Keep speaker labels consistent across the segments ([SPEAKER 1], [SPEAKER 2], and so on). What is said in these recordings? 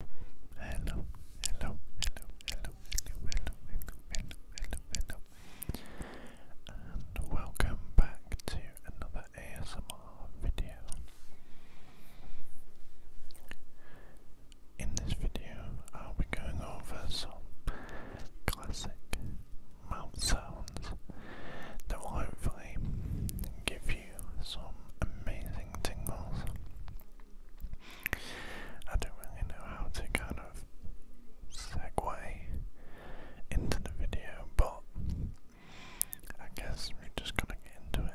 [SPEAKER 1] hello, hello, hello, hello, hello, hello, hello, hello, and welcome back to another ASMR video. In this video, I'll be going over some classic mouth sounds that will hopefully give you some amazing tingles. I don't really know how to kind of segue into
[SPEAKER 2] the video, but I guess we're just gonna get into it.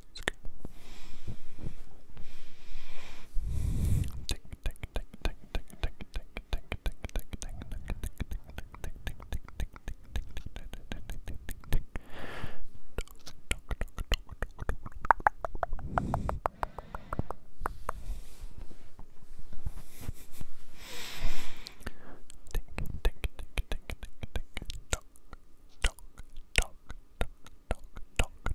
[SPEAKER 2] Dog, dog, dog, dog,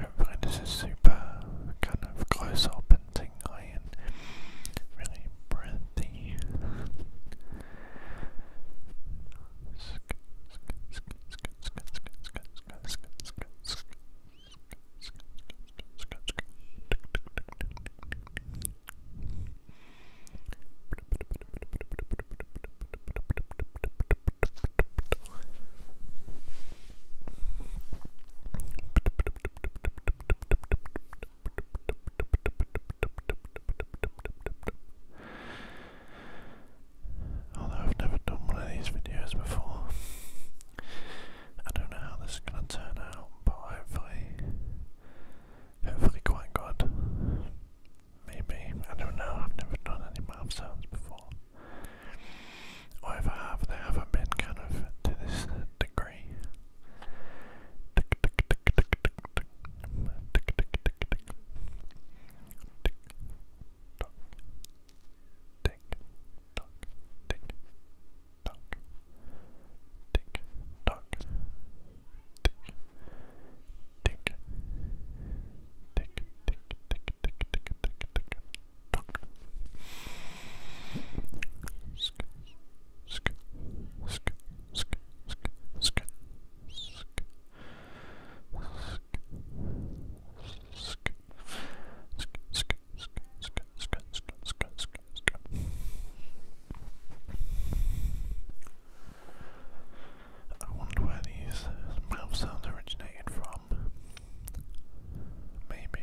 [SPEAKER 2] Hopefully this is super kind of close up and tingly and really breathy.
[SPEAKER 1] Although I've never done one of these videos before, I don't know how this is going to turn out, but hopefully, hopefully quite good. Maybe I don't know. I've never done any mouth sounds before. Or if I have, they been kind of to this degree.
[SPEAKER 2] I wonder where these uh, sounds originated from.
[SPEAKER 1] Maybe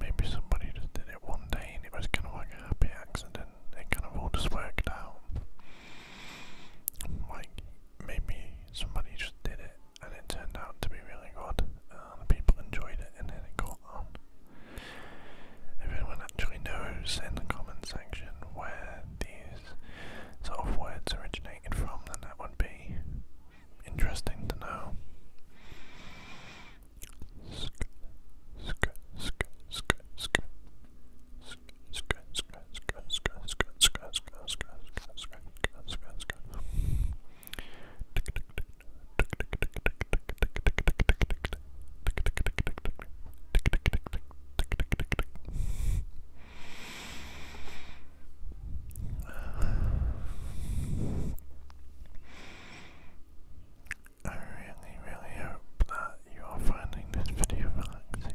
[SPEAKER 1] Maybe somebody just did it one day and it was kind of like a happy accident. It kind of all just worked out. Like, maybe somebody just did it and it turned out to be really good and people enjoyed it and then it got on. If anyone actually knows in the comment section where these sort of where it's originated from, then that would be interesting to know.
[SPEAKER 2] I really, really hope that you are finding this video relaxing.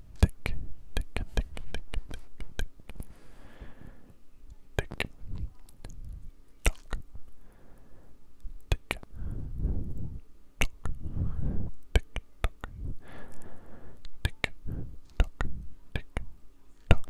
[SPEAKER 2] tick, tick, tick, tick, tick, tick, tock, tick, tock, tick, tock, tick, tock, tick, tock.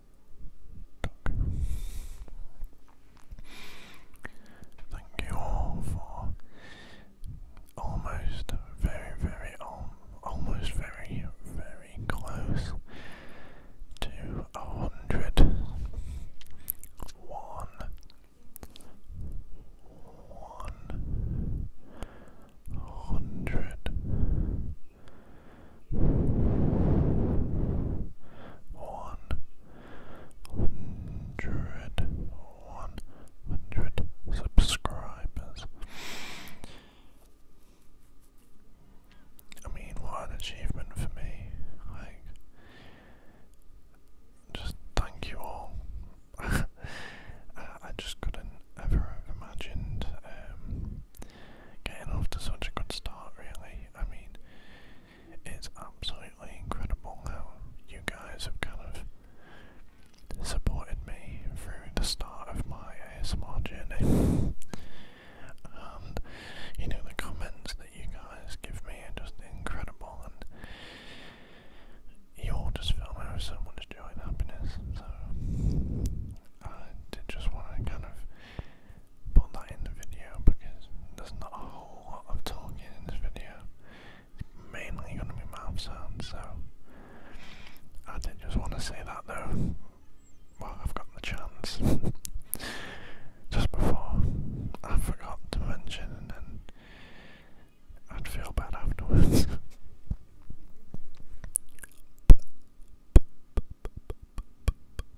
[SPEAKER 1] Thank you all for almost very, very, almost very, very close to a hundred. one hundred one hundred one hundred subscribers. I mean, what an achievement for me! Like, just thank you all. I, just couldn't ever have imagined um, Getting off to such a good start, really. I mean, it's absolutely incredible how you guys have kind of supported me through the start of my ASMR journey. you know, the comments that you guys give me are just incredible, and you all just fill me with so much joy and happiness. So, I did just want to kind of put that in the video because there's not a whole lot of talking in this video. mainly going to be mouth sounds, so I did just want to say that though. Well, I've got the chance. just before, I forgot to mention, and then I'd feel bad afterwards.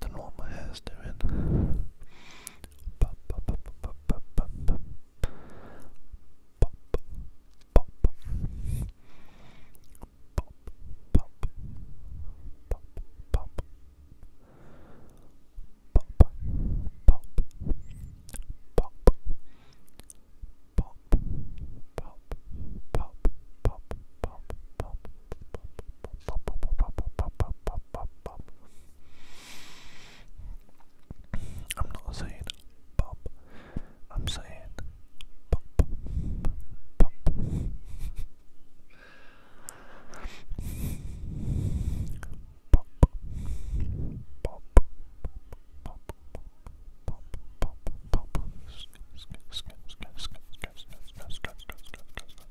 [SPEAKER 1] Don't know what my hair's doing.
[SPEAKER 2] I'm not saying pop, I'm saying pop, pop, pop. Pop, pop, pop, pop, pop, pop, pop,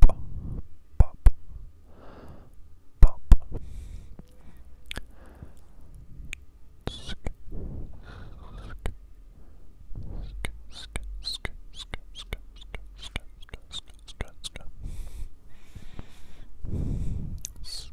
[SPEAKER 2] pop, pop, pop. Sk, sk, sk, sk, sk, sk, sk, sk, sk, sk, sk. Sk.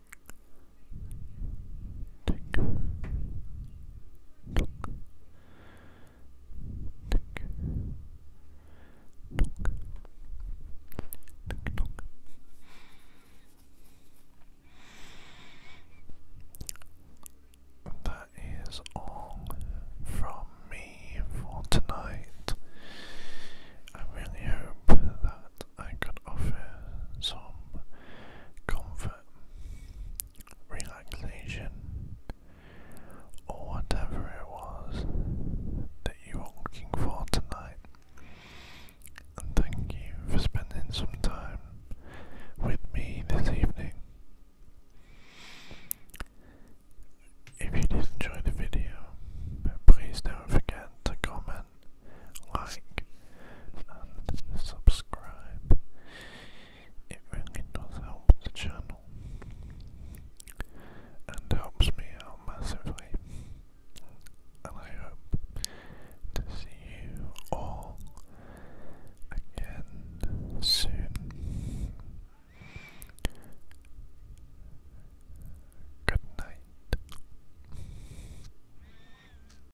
[SPEAKER 1] tick, tock, That is all from me for tonight. I really hope that I could offer some comfort relaxation, or whatever it was that you were looking for tonight. And thank you for spending some time with me this evening. If you did enjoy the video, please don't forget to comment, like, and subscribe. It really does help the channel and helps me out massively.
[SPEAKER 2] And I hope to see you all again soon. Good night.